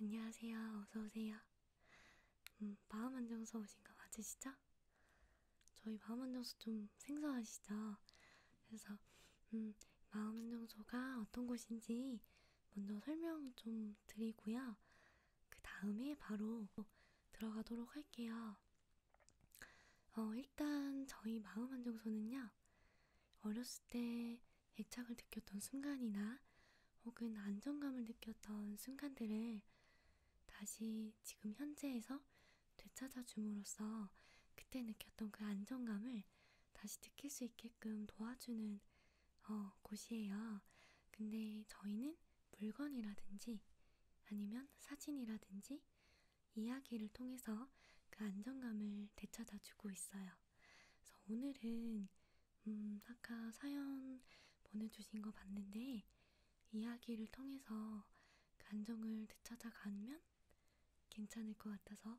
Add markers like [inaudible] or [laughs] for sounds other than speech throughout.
안녕하세요. 어서오세요. 음, 마음안정서 오신 거 맞으시죠? 저희 마음안정소 좀 생소하시죠? 그래서, 음, 마음안정소가 어떤 곳인지 먼저 설명 좀 드리고요. 그 다음에 바로 들어가도록 할게요. 어, 일단 저희 마음 안정소는요. 어렸을 때 애착을 느꼈던 순간이나 혹은 안정감을 느꼈던 순간들을 다시 지금 현재에서 되찾아 줌으로써 그때 느꼈던 그 안정감을 다시 느낄 수 있게끔 도와주는 어, 곳이에요. 근데 저희는 물건이라든지 아니면 사진이라든지 이야기를 통해서 그 안정감을 되찾아 주고 있어요. 그래서 오늘은 음, 아까 사연 보내주신 거 봤는데 이야기를 통해서 그 안정을 되찾아가면 괜찮을 것 같아서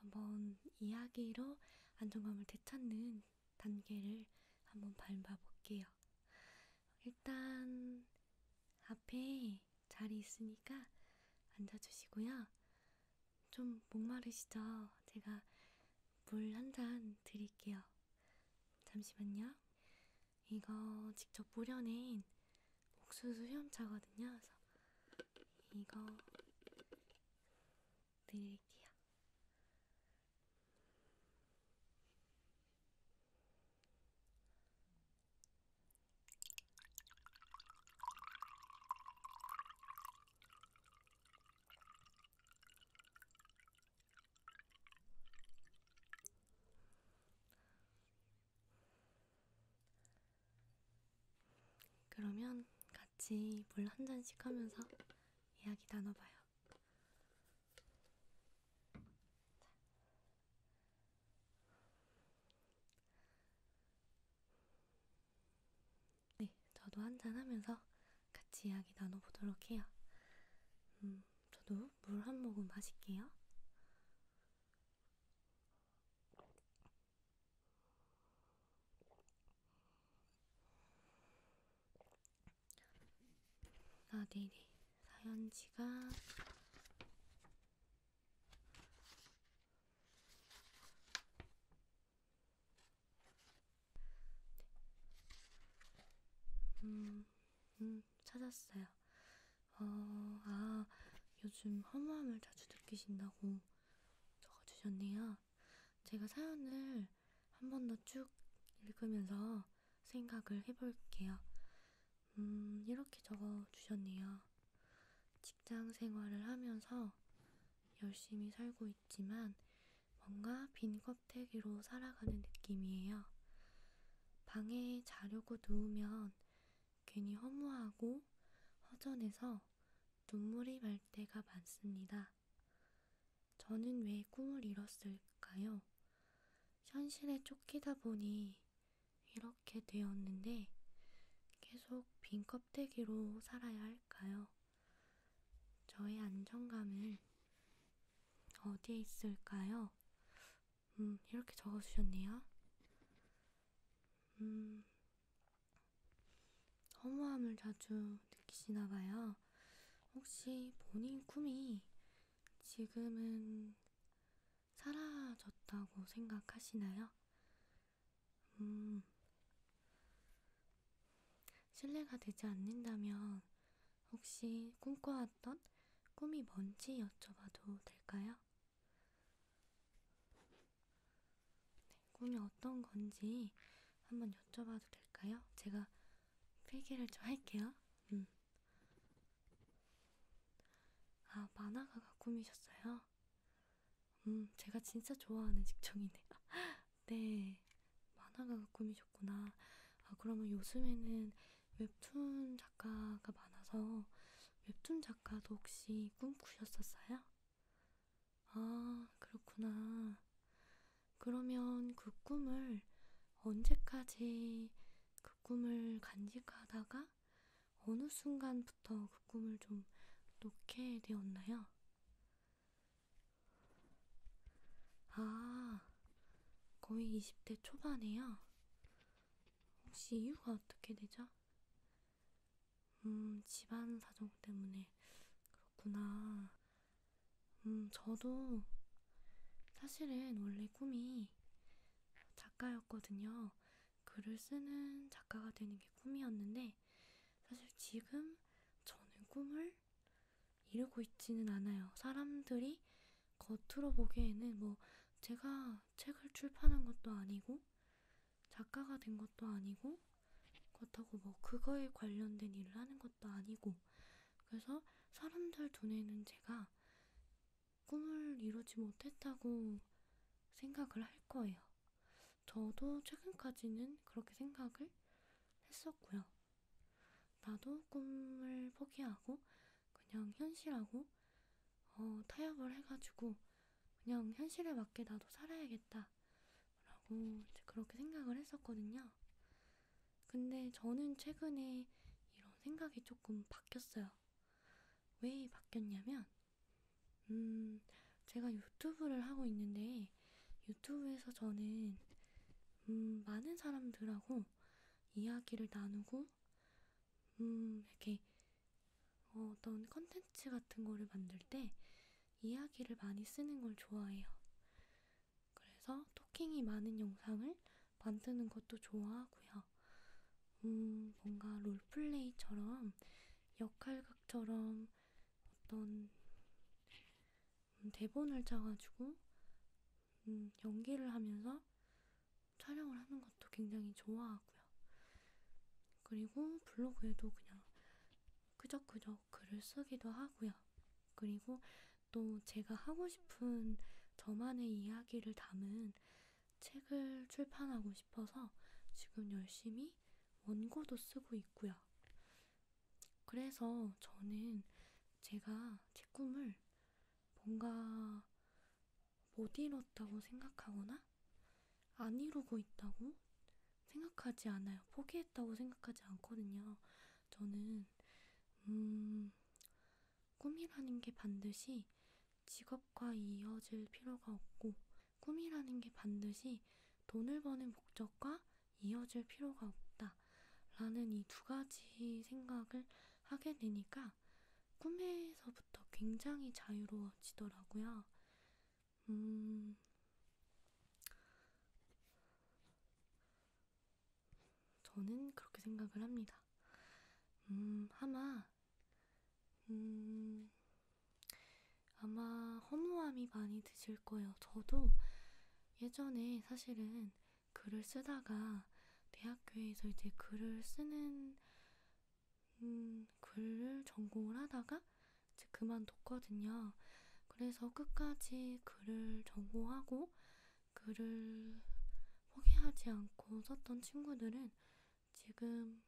한번 이야기로 안정감을 되찾는 단계를 한번 밟아볼게요. 일단 앞에 자리 있으니까 앉아주시고요. 좀 목마르시죠? 제가 물 한 잔 드릴게요. 잠시만요. 이거 직접 우려낸 옥수수 수염차거든요. 그래서 이거 드릴게요. 그러면 같이 물 한 잔씩 하면서 이야기 나눠봐요. 자. 네, 저도 한잔 하면서 같이 이야기 나눠보도록 해요. 음, 저도 물 한 모금 마실게요. 아, 네네. 사연지가 네. 음, 음, 찾았어요. 어, 아, 요즘 허무함을 자주 느끼신다고 적어주셨네요. 제가 사연을 한 번 더 쭉 읽으면서 생각을 해볼게요. 음, 이렇게 적어주셨네요. 직장 생활을 하면서 열심히 살고 있지만 뭔가 빈 껍데기로 살아가는 느낌이에요. 방에 자려고 누우면 괜히 허무하고 허전해서 눈물이 날 때가 많습니다. 저는 왜 꿈을 잃었을까요? 현실에 쫓기다 보니 이렇게 되었는데 계속 빈 껍데기로 살아야 할까요? 저의 안정감은 어디에 있을까요? 음, 이렇게 적어주셨네요. 음, 허무함을 자주 느끼시나 봐요. 혹시 본인 꿈이 지금은 사라졌다고 생각하시나요? 음, 신뢰가 되지 않는다면 혹시 꿈꿔왔던 꿈이 뭔지 여쭤봐도 될까요? 네, 꿈이 어떤 건지 한번 여쭤봐도 될까요? 제가 필기를 좀 할게요. 음. 아, 만화가가 꿈이셨어요? 음, 제가 진짜 좋아하는 직종이네요. [laughs] 네, 만화가가 꿈이셨구나. 아, 그러면 요즘에는 웹툰 작가가 많아서 웹툰 작가도 혹시 꿈꾸셨었어요? 아, 그렇구나. 그러면 그 꿈을 언제까지 그 꿈을 간직하다가 어느 순간부터 그 꿈을 좀 놓게 되었나요? 아, 거의 20대 초반에요? 혹시 이유가 어떻게 되죠? 음, 집안 사정 때문에 그렇구나. 음, 저도 사실은 원래 꿈이 작가였거든요. 글을 쓰는 작가가 되는 게 꿈이었는데, 사실 지금 저는 꿈을 이루고 있지는 않아요. 사람들이 겉으로 보기에는 뭐 제가 책을 출판한 것도 아니고, 작가가 된 것도 아니고, 그렇다고 뭐 그거에 관련된 일을 하는 것도 아니고, 그래서 사람들 눈에는 제가 꿈을 이루지 못했다고 생각을 할 거예요. 저도 최근까지는 그렇게 생각을 했었고요. 나도 꿈을 포기하고 그냥 현실하고 어, 타협을 해가지고 그냥 현실에 맞게 나도 살아야겠다 라고 이제 그렇게 생각을 했었거든요. 근데 저는 최근에 이런 생각이 조금 바뀌었어요. 왜 바뀌었냐면, 음, 제가 유튜브를 하고 있는데, 유튜브에서 저는, 음, 많은 사람들하고 이야기를 나누고, 음, 이렇게 어떤 컨텐츠 같은 거를 만들 때 이야기를 많이 쓰는 걸 좋아해요. 그래서 토킹이 많은 영상을 만드는 것도 좋아하고요. 음, 뭔가 롤플레이처럼 역할극처럼 어떤 음, 대본을 짜가지고 음, 연기를 하면서 촬영을 하는 것도 굉장히 좋아하고요. 그리고 블로그에도 그냥 그저그저 글을 쓰기도 하고요. 그리고 또 제가 하고 싶은 저만의 이야기를 담은 책을 출판하고 싶어서 지금 열심히 원고도 쓰고 있고요. 그래서 저는 제가 제 꿈을 뭔가 못 이뤘다고 생각하거나 안 이루고 있다고 생각하지 않아요. 포기했다고 생각하지 않거든요. 저는 음, 꿈이라는 게 반드시 직업과 이어질 필요가 없고 꿈이라는 게 반드시 돈을 버는 목적과 이어질 필요가 없다. 라는 이 두 가지 생각을 하게 되니까 꿈에서부터 굉장히 자유로워지더라고요. 음, 저는 그렇게 생각을 합니다. 음, 아마, 음, 아마 허무함이 많이 드실 거예요. 저도 예전에 사실은 글을 쓰다가 대학교에서 이제 글을 쓰는, 음, 글을 전공을 하다가 이제 그만뒀거든요. 그래서 끝까지 글을 전공하고 글을 포기하지 않고 썼던 친구들은 지금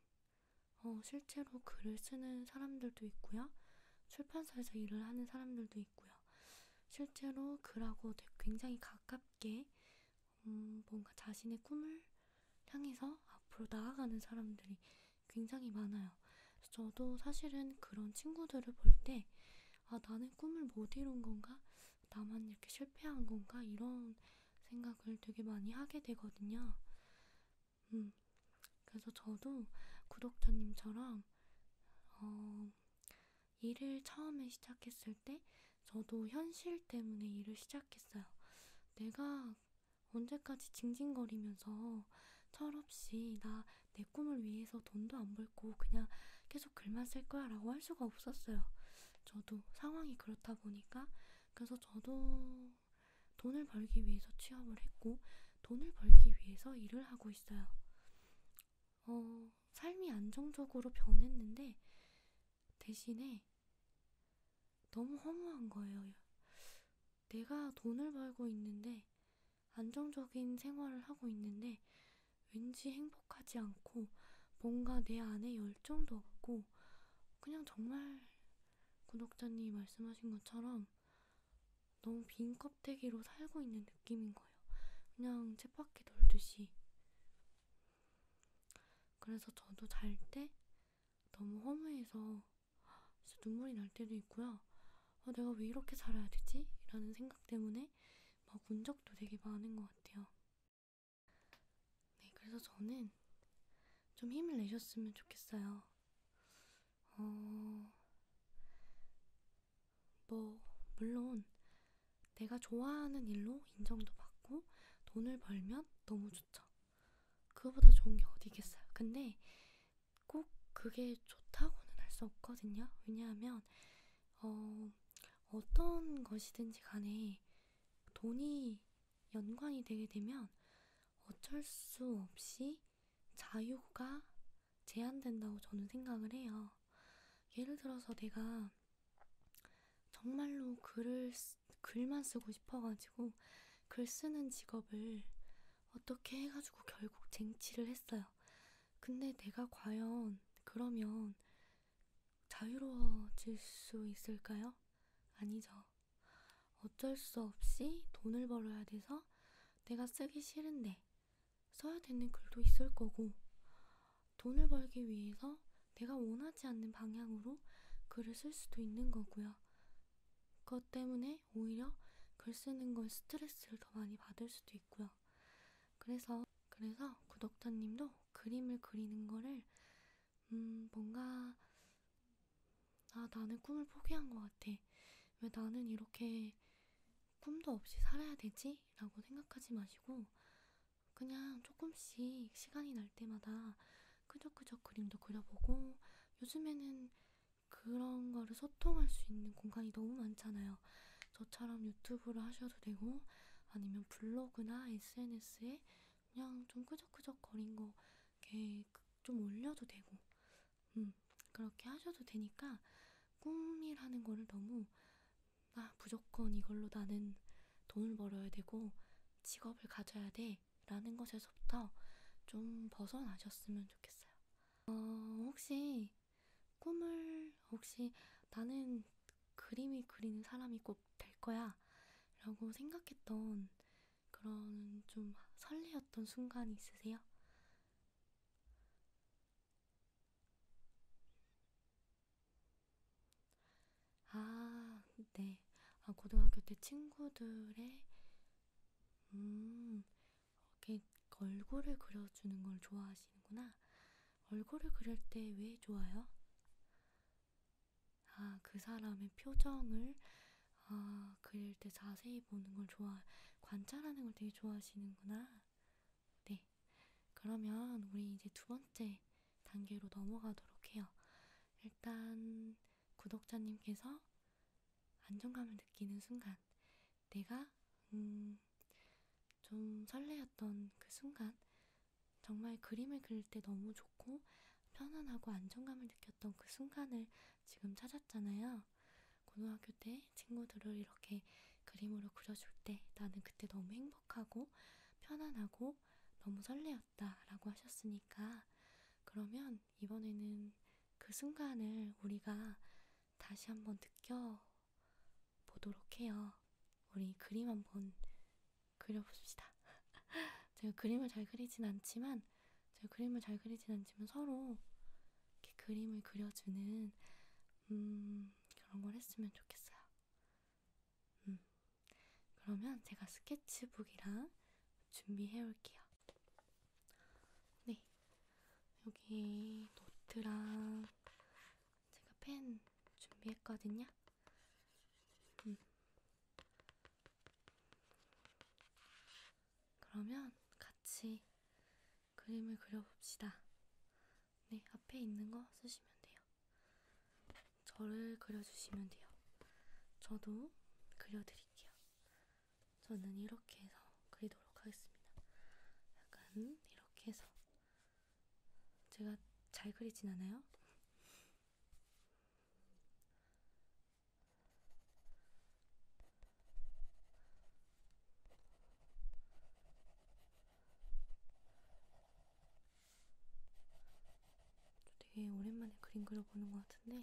어, 실제로 글을 쓰는 사람들도 있고요. 출판사에서 일을 하는 사람들도 있고요. 실제로 글하고 굉장히 가깝게 음, 뭔가 자신의 꿈을 향해서 앞으로 나아가는 사람들이 굉장히 많아요. 저도 사실은 그런 친구들을 볼때 아, 나는 꿈을 못 이룬 건가? 나만 이렇게 실패한 건가? 이런 생각을 되게 많이 하게 되거든요. 음, 그래서 저도 구독자님처럼, 어, 일을 처음에 시작했을 때, 저도 현실 때문에 일을 시작했어요. 내가 언제까지 징징거리면서 철없이 나내 꿈을 위해서 돈도 안 벌고 그냥 계속 글만 쓸 거야 라고 할 수가 없었어요. 저도 상황이 그렇다 보니까 그래서 저도 돈을 벌기 위해서 취업을 했고 돈을 벌기 위해서 일을 하고 있어요. 어, 삶이 안정적으로 변했는데 대신에 너무 허무한 거예요. 내가 돈을 벌고 있는데 안정적인 생활을 하고 있는데 왠지 행복하지 않고 뭔가 내 안에 열정도 없고 그냥 정말 구독자님이 말씀하신 것처럼 너무 빈 껍데기로 살고 있는 느낌인 거예요. 그냥 쳇바퀴 돌듯이. 그래서 저도 잘 때 너무 허무해서 진짜 눈물이 날 때도 있고요. 아, 내가 왜 이렇게 살아야 되지? 라는 생각 때문에 막운 적도 되게 많은 것 같아요. 네, 그래서 저는 좀 힘을 내셨으면 좋겠어요. 어, 뭐, 물론 내가 좋아하는 일로 인정도 받고 돈을 벌면 너무 좋죠. 그거보다 좋은 게 어디 있겠어요. 근데 꼭 그게 좋다고는 할 수 없거든요. 왜냐하면 어, 어떤 것이든지 간에 돈이 연관이 되게 되면 어쩔 수 없이 자유가 제한된다고 저는 생각을 해요. 예를 들어서 내가 정말로 글을, 쓰, 글만 쓰고 싶어가지고 글 쓰는 직업을 어떻게 해가지고 결국 쟁취를 했어요. 근데 내가 과연 그러면 자유로워질 수 있을까요? 아니죠. 어쩔 수 없이 돈을 벌어야 돼서 내가 쓰기 싫은데 써야 되는 글도 있을 거고 돈을 벌기 위해서 내가 원하지 않는 방향으로 글을 쓸 수도 있는 거고요. 그것 때문에 오히려 글 쓰는 걸 스트레스를 더 많이 받을 수도 있고요. 그래서 그래서 구독자님도 그림을 그리는 거를 음 뭔가 아 나는 꿈을 포기한 것 같아. 왜 나는 이렇게 꿈도 없이 살아야 되지? 라고 생각하지 마시고 그냥 조금씩 시간이 날 때마다 그저그저 그림도 그려보고 요즘에는 그런 거를 소통할 수 있는 공간이 너무 많잖아요. 저처럼 유튜브를 하셔도 되고, 아니면 블로그나 SNS에 그냥 좀 끄적끄적 거린 거 이렇게 좀 올려도 되고, 음, 그렇게 하셔도 되니까, 꿈이라는 거를 너무, 아, 무조건 이걸로 나는 돈을 벌어야 되고, 직업을 가져야 돼, 라는 것에서부터 좀 벗어나셨으면 좋겠어요. 어, 혹시 꿈을 혹시 나는 그림이 그리는 사람이 꼭 될 거야 라고 생각했던 그런 좀 설레었던 순간이 있으세요? 아, 네. 아, 고등학교 때 친구들의, 음, 이렇게 얼굴을 그려주는 걸 좋아하시는구나. 얼굴을 그릴 때 왜 좋아요? 아, 그 사람의 표정을 아, 그릴 때 자세히 보는 걸 좋아, 관찰하는 걸 되게 좋아하시는구나. 네. 그러면 우리 이제 두 번째 단계로 넘어가도록 해요. 일단 구독자님께서 안정감을 느끼는 순간, 내가, 음, 좀 설레었던 그 순간, 정말 그림을 그릴 때 너무 좋고, 편안하고 안정감을 느꼈던 그 순간을 지금 찾았잖아요. 고등학교 때 친구들을 이렇게 그림으로 그려줄 때 나는 그때 너무 행복하고 편안하고 너무 설레었다 라고 하셨으니까 그러면 이번에는 그 순간을 우리가 다시 한번 느껴 보도록 해요. 우리 그림 한번 그려봅시다. [laughs] 제가 그림을 잘 그리진 않지만, 제가 그림을 잘 그리진 않지만 서로 이렇게 그림을 그려주는 음, 그런 걸 했으면 좋겠어요. 음, 그러면 제가 스케치북이랑 준비해 올게요. 네, 여기 노트랑 제가 펜 준비했거든요. 음. 그러면 같이 그림을 그려봅시다. 네, 앞에 있는 거 쓰시면 돼요. 저를 그려주시면 돼요. 저도 그려드릴게요. 저는 이렇게 해서 그리도록 하겠습니다. 약간 이렇게 해서 제가 잘 그리진 않아요? 되게 오랜만에 그림 그려보는 것 같은데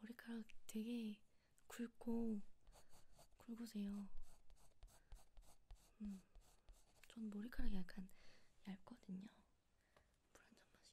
머리카락 되게 굵고 굵으세요. 음, 전 머리카락이 약간 얇거든요. 물한잔 마실게요.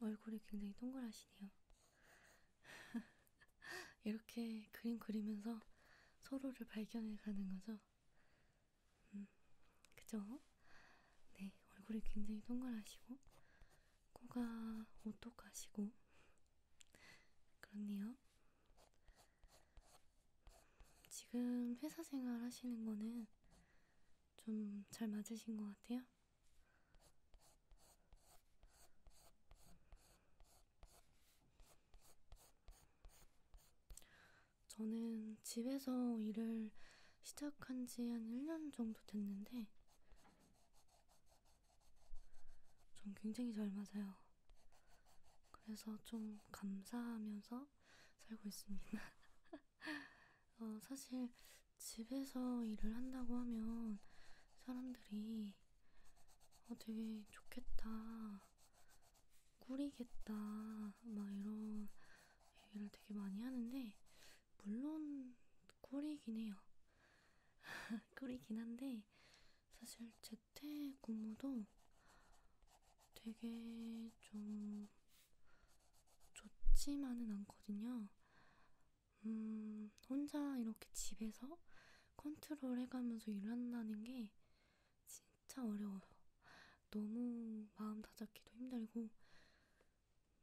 얼굴이 굉장히 동그라시네요. [laughs] 이렇게 그림 그리면서 서로를 발견해 가는 거죠. 음, 그죠? 네, 얼굴이 굉장히 동그라시고, 코가 오똑하시고, 그렇네요. 지금 회사 생활 하시는 거는 좀잘 맞으신 것 같아요? 저는 집에서 일을 시작한 지 한 1년 정도 됐는데, 좀 굉장히 잘 맞아요. 그래서 좀 감사하면서 살고 있습니다. [laughs] 어, 사실 집에서 일을 한다고 하면 사람들이 어, 되게 좋겠다, 꾸리겠다, 막 이런 얘기를 되게 많이 하는데, 물론 꾸리긴 해요. [laughs] 꾸리긴 한데, 사실 재택근무도 되게 좀 좋지만은 않거든요. 음, 혼자 이렇게 집에서 컨트롤 해가면서 일한다는 게 진짜 어려워요. 너무 마음 다잡기도 힘들고,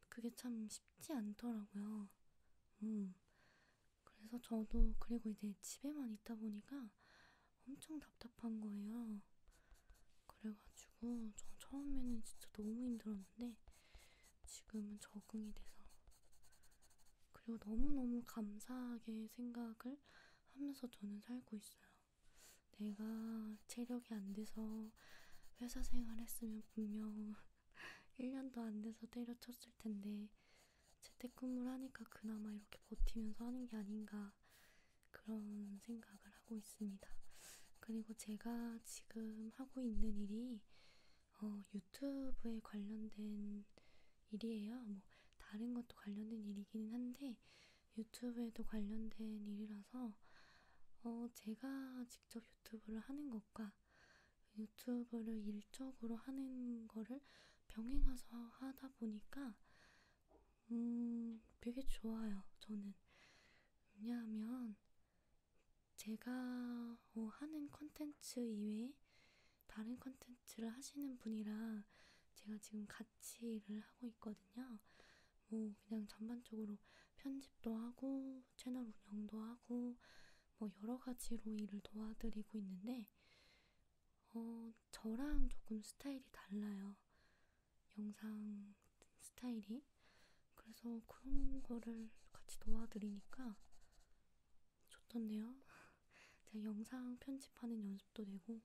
그게 참 쉽지 않더라고요. 음, 그래서 저도, 그리고 이제 집에만 있다 보니까 엄청 답답한 거예요. 그래가지고 전 처음에는 진짜 너무 힘들었는데 지금은 적응이 돼서 그리고 너무너무 감사하게 생각을 하면서 저는 살고 있어요. 내가 체력이 안 돼서 회사 생활했으면 분명 1년도 [laughs] 안 돼서 때려쳤을 텐데 재택근무를 하니까 그나마 이렇게 버티면서 하는 게 아닌가 그런 생각을 하고 있습니다. 그리고 제가 지금 하고 있는 일이 어, 유튜브에 관련된 일이에요. 뭐 다른 것도 관련된 일이긴 한데 유튜브에도 관련된 일이라서 어, 제가 직접 유튜브를 하는 것과 유튜브를 일적으로 하는 거를 병행해서 하다 보니까 음, 되게 좋아요, 저는. 왜냐하면, 제가 어, 하는 컨텐츠 이외에 다른 컨텐츠를 하시는 분이랑 제가 지금 같이 일을 하고 있거든요. 뭐, 그냥 전반적으로 편집도 하고, 채널 운영도 하고, 뭐, 여러 가지로 일을 도와드리고 있는데, 어, 저랑 조금 스타일이 달라요. 영상 스타일이 그래서 그런 거를 같이 도와드리니까 좋던데요. [laughs] 제가 영상 편집하는 연습도 되고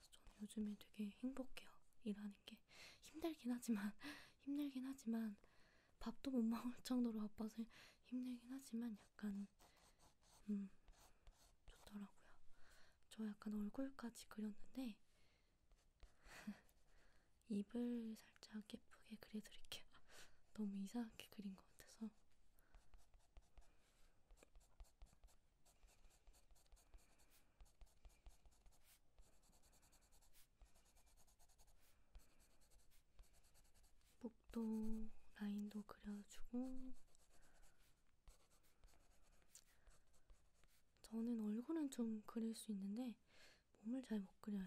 저는 요즘에 되게 행복해요. 일하는 게 힘들긴 하지만 [laughs] 힘들긴 하지만 밥도 못 먹을 정도로 바빠서 힘들긴 하지만 약간 음 좋더라고요. 저 약간 얼굴까지 그렸는데 [laughs] 입을 살짝 예쁘게 그려드릴게요. [laughs] 너무 이상하게 그린 것 같아서. 목도 라인도 그려주고 저는 얼굴은 좀 그릴 수 있는데 몸을 잘 못 그려요.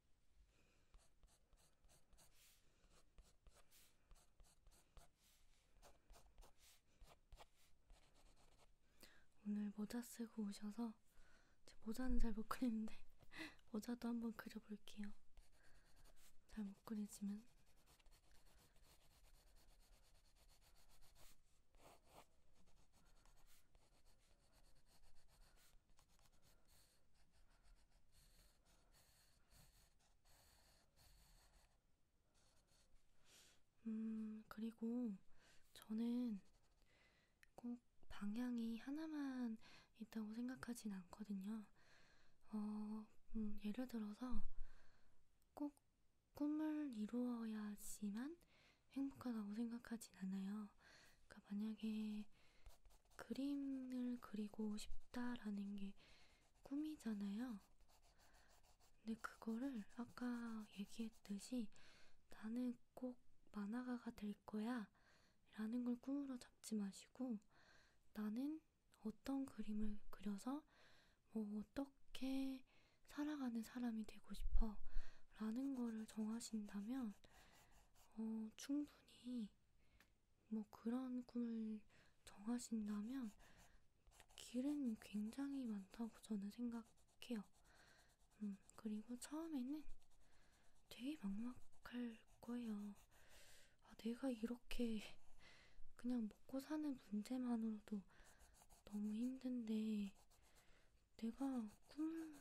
오늘 모자 쓰고 오셔서 제 모자는 잘 못 그리는데 [laughs] 모자도 한번 그려볼게요. 잘 못 그리지만 음, 그리고 저는 꼭 방향이 하나만 있다고 생각하진 않거든요. 어, 음, 예를 들어서 꼭 꿈을 이루어야지만 행복하다고 생각하진 않아요. 그러니까 만약에 그림을 그리고 싶다라는 게 꿈이잖아요. 근데 그거를 아까 얘기했듯이 나는 꼭 만화가가 될 거야 라는 걸 꿈으로 잡지 마시고 나는 어떤 그림을 그려서 뭐 어떻게 살아가는 사람이 되고 싶어 라는 거를 정하신다면 어, 충분히 뭐 그런 꿈을 정하신다면 길은 굉장히 많다고 저는 생각해요. 음, 그리고 처음에는 되게 막막할 거예요. 아, 내가 이렇게 그냥 먹고 사는 문제만으로도 너무 힘든데, 내가 꿈을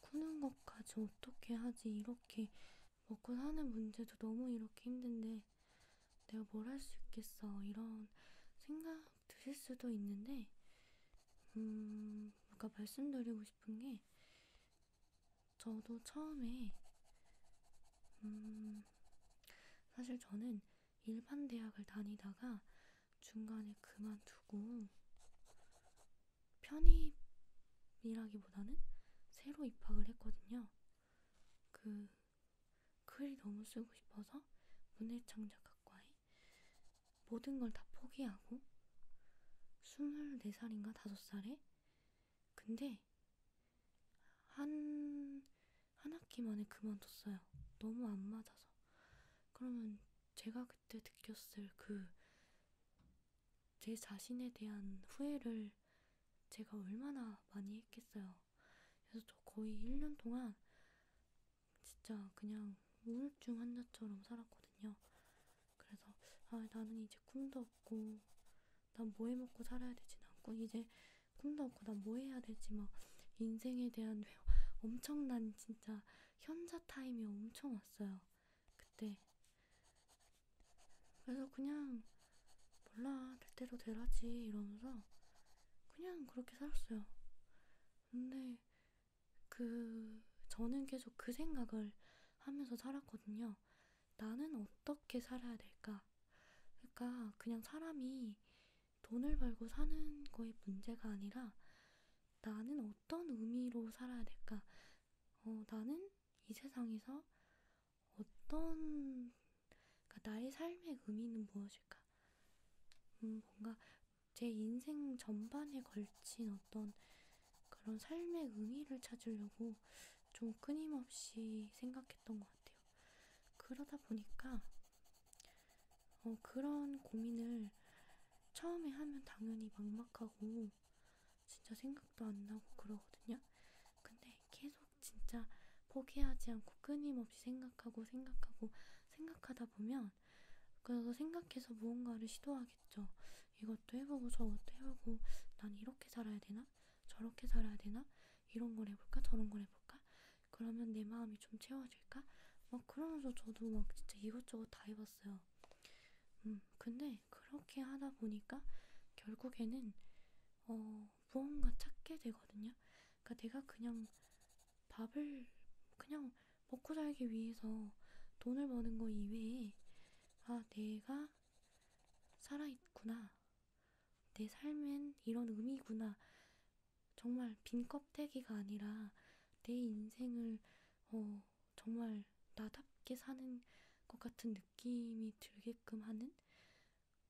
꾸는 것까지 어떻게 하지 이렇게 먹고 사는 문제도 너무 이렇게 힘든데 내가 뭘 할 수 있겠어 이런 생각 드실 수도 있는데 음 아까 말씀드리고 싶은 게 저도 처음에 음 사실 저는 일반 대학을 다니다가 중간에 그만두고 편입이라기보다는 새로 입학을 했거든요. 그, 글 너무 쓰고 싶어서 문해창작학과에 모든 걸 다 포기하고 24살인가 5살에 근데 한, 한 학기 만에 그만뒀어요. 너무 안 맞아서. 그러면 제가 그때 느꼈을 그제 자신에 대한 후회를 제가 얼마나 많이 했겠어요. 그래서 저 거의 1년 동안 진짜 그냥 우울증 환자처럼 살았거든요. 그래서 아, 나는 이제 꿈도 없고 난 뭐 해먹고 살아야 되지 않고 이제 꿈도 없고 난 뭐 해야 되지 막 인생에 대한 [laughs] 엄청난 진짜 현자 타임이 엄청 왔어요. 그때 그래서 그냥 몰라 될 대로 되라지 이러면서 그냥 그렇게 살았어요. 근데 그 저는 계속 그 생각을 하면서 살았거든요. 나는 어떻게 살아야 될까? 그러니까 그냥 사람이 돈을 벌고 사는 거의 문제가 아니라 나는 어떤 의미로 살아야 될까? 어, 나는 이 세상에서 어떤, 그러니까 나의 삶의 의미는 무엇일까? 음, 뭔가 제 인생 전반에 걸친 어떤 그런 삶의 의미를 찾으려고 좀 끊임없이 생각했던 것 같아요. 그러다 보니까 어, 그런 고민을 처음에 하면 당연히 막막하고 진짜 생각도 안 나고 그러거든요. 근데 계속 진짜 포기하지 않고 끊임없이 생각하고 생각하고 생각하다 보면 그래서 생각해서 무언가를 시도하겠죠. 이것도 해보고 저것도 해보고 난 이렇게 살아야 되나? 저렇게 살아야 되나? 이런 걸 해볼까? 저런 걸 해볼까? 그러면 내 마음이 좀 채워질까? 막 그러면서 저도 막 진짜 이것저것 다 해봤어요. 음, 근데 그렇게 하다 보니까 결국에는 어, 무언가 찾게 되거든요. 그러니까 내가 그냥 밥을 그냥 먹고 살기 위해서 돈을 버는 거 이외에 아, 내가 살아있구나. 내 삶엔 이런 의미구나. 정말 빈 껍데기가 아니라 내 인생을 어, 정말 나답게 사는 것 같은 느낌이 들게끔 하는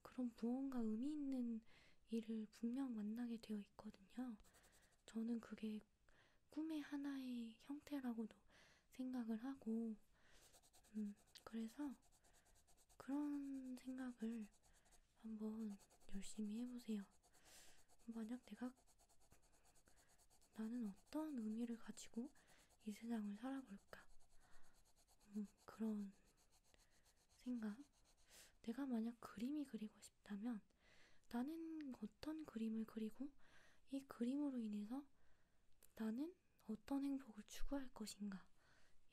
그런 무언가 의미 있는 일을 분명 만나게 되어 있거든요. 저는 그게 꿈의 하나의 형태라고도 생각을 하고, 음, 그래서 그런 생각을 한번 열심히 해보세요. 만약 내가 나는 어떤 의미를 가지고 이 세상을 살아볼까? 음, 그런 생각? 내가 만약 그림이 그리고 싶다면 나는 어떤 그림을 그리고 이 그림으로 인해서 나는 어떤 행복을 추구할 것인가?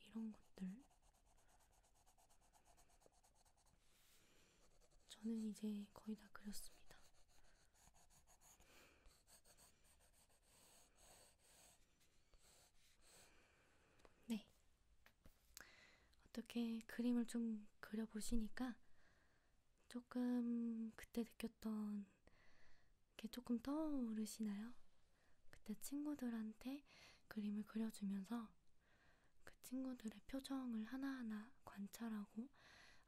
이런 것들. 저는 이제 거의 다 그렸습니다. 네. 어떻게 그림을 좀 그려보시니까 조금 그때 느꼈던 게 조금 떠오르시나요? 그때 친구들한테 그림을 그려주면서 그 친구들의 표정을 하나하나 관찰하고 하고,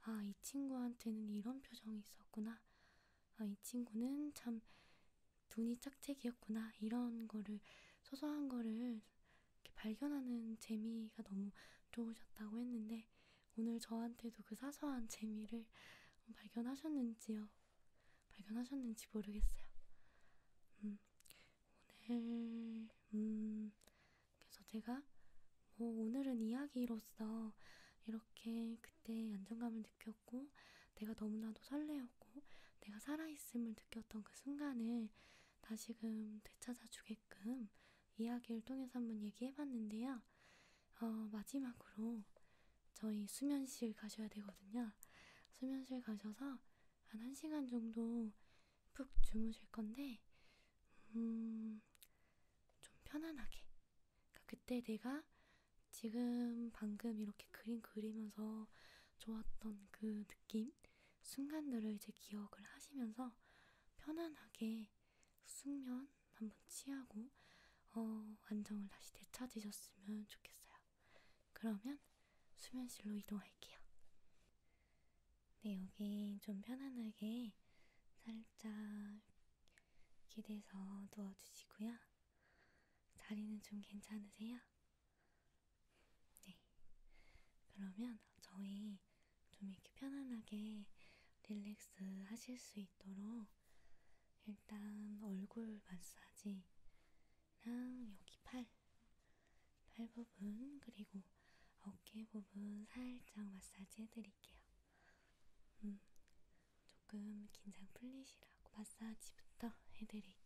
아, 이 친구한테는 이런 표정이 있었구나. 아, 이 친구는 참 눈이 짝짝이었구나. 이런 거를, 소소한 거를 이렇게 발견하는 재미가 너무 좋으셨다고 했는데, 오늘 저한테도 그 사소한 재미를 발견하셨는지요? 발견하셨는지 모르겠어요. 음, 오늘, 음, 그래서 제가 뭐 오늘은 이야기로서 이렇게 그때 안정감을 느꼈고 내가 너무나도 설레었고 내가 살아있음을 느꼈던 그 순간을 다시금 되찾아 주게끔 이야기를 통해서 한번 얘기해 봤는데요. 어, 마지막으로 저희 수면실 가셔야 되거든요. 수면실 가셔서 한 1시간 정도 푹 주무실 건데, 음, 좀 편안하게. 그러니까 그때 내가 지금 방금 이렇게 그림 그리면서 좋았던 그 느낌, 순간들을 이제 기억을 하시면서 편안하게 숙면 한번 취하고, 어, 안정을 다시 되찾으셨으면 좋겠어요. 그러면 수면실로 이동할게요. 근데 네, 여기 좀 편안하게 살짝 기대서 누워주시고요. 자리는 좀 괜찮으세요? 네. 그러면 저희 좀 이렇게 편안하게 릴렉스 하실 수 있도록 일단 얼굴 마사지랑 여기 팔, 팔 부분, 그리고 어깨 부분 살짝 마사지 해드릴게요. 음, 조금 긴장 풀리시라고 마사지부터 해드릴게요.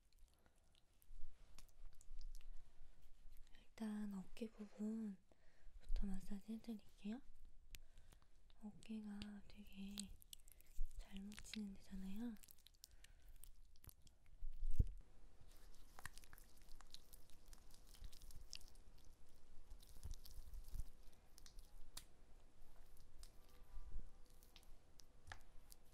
일단 어깨 부분부터 마사지 해드릴게요. 어깨가 되게 잘 뭉치는 데잖아요.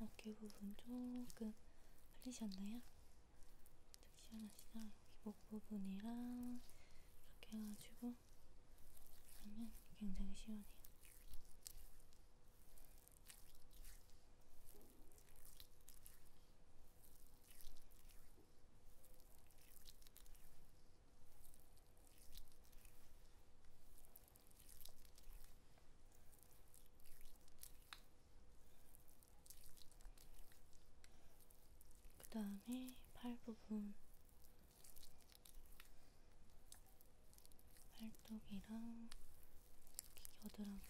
어깨 부분 조금 풀리셨나요? 좀 시원하시죠? 여기 목 부분이랑 이렇게 해가지고 하면 굉장히 시원해요. 그 다음에 팔 부분 팔뚝이랑 여드랑이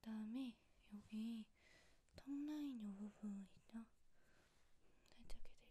그 다음에 여기 턱라인 요 부분 있죠? 살짝 해드릴게요.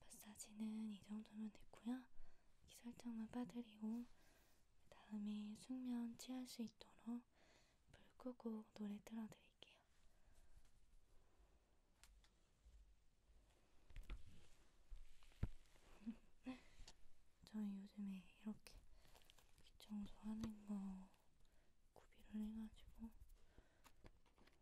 마사지는 이 정도면 됐고요. 기 살짝만 빠뜨리고 다음에 숙면 취할 수 있도록 불 끄고 노래 틀어드릴게요. [laughs] 저희 요즘에 이렇게 귀청소하는 거 구비를 해가지고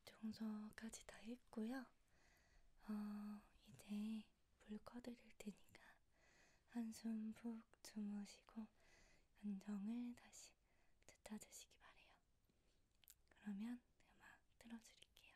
기청소까지 다 했고요. 어, 이제 불 꺼드릴 테니까 한숨 푹 주무시고 안정을 다시 되찾으시기 바래요. 그러면 음악 틀어드릴게요.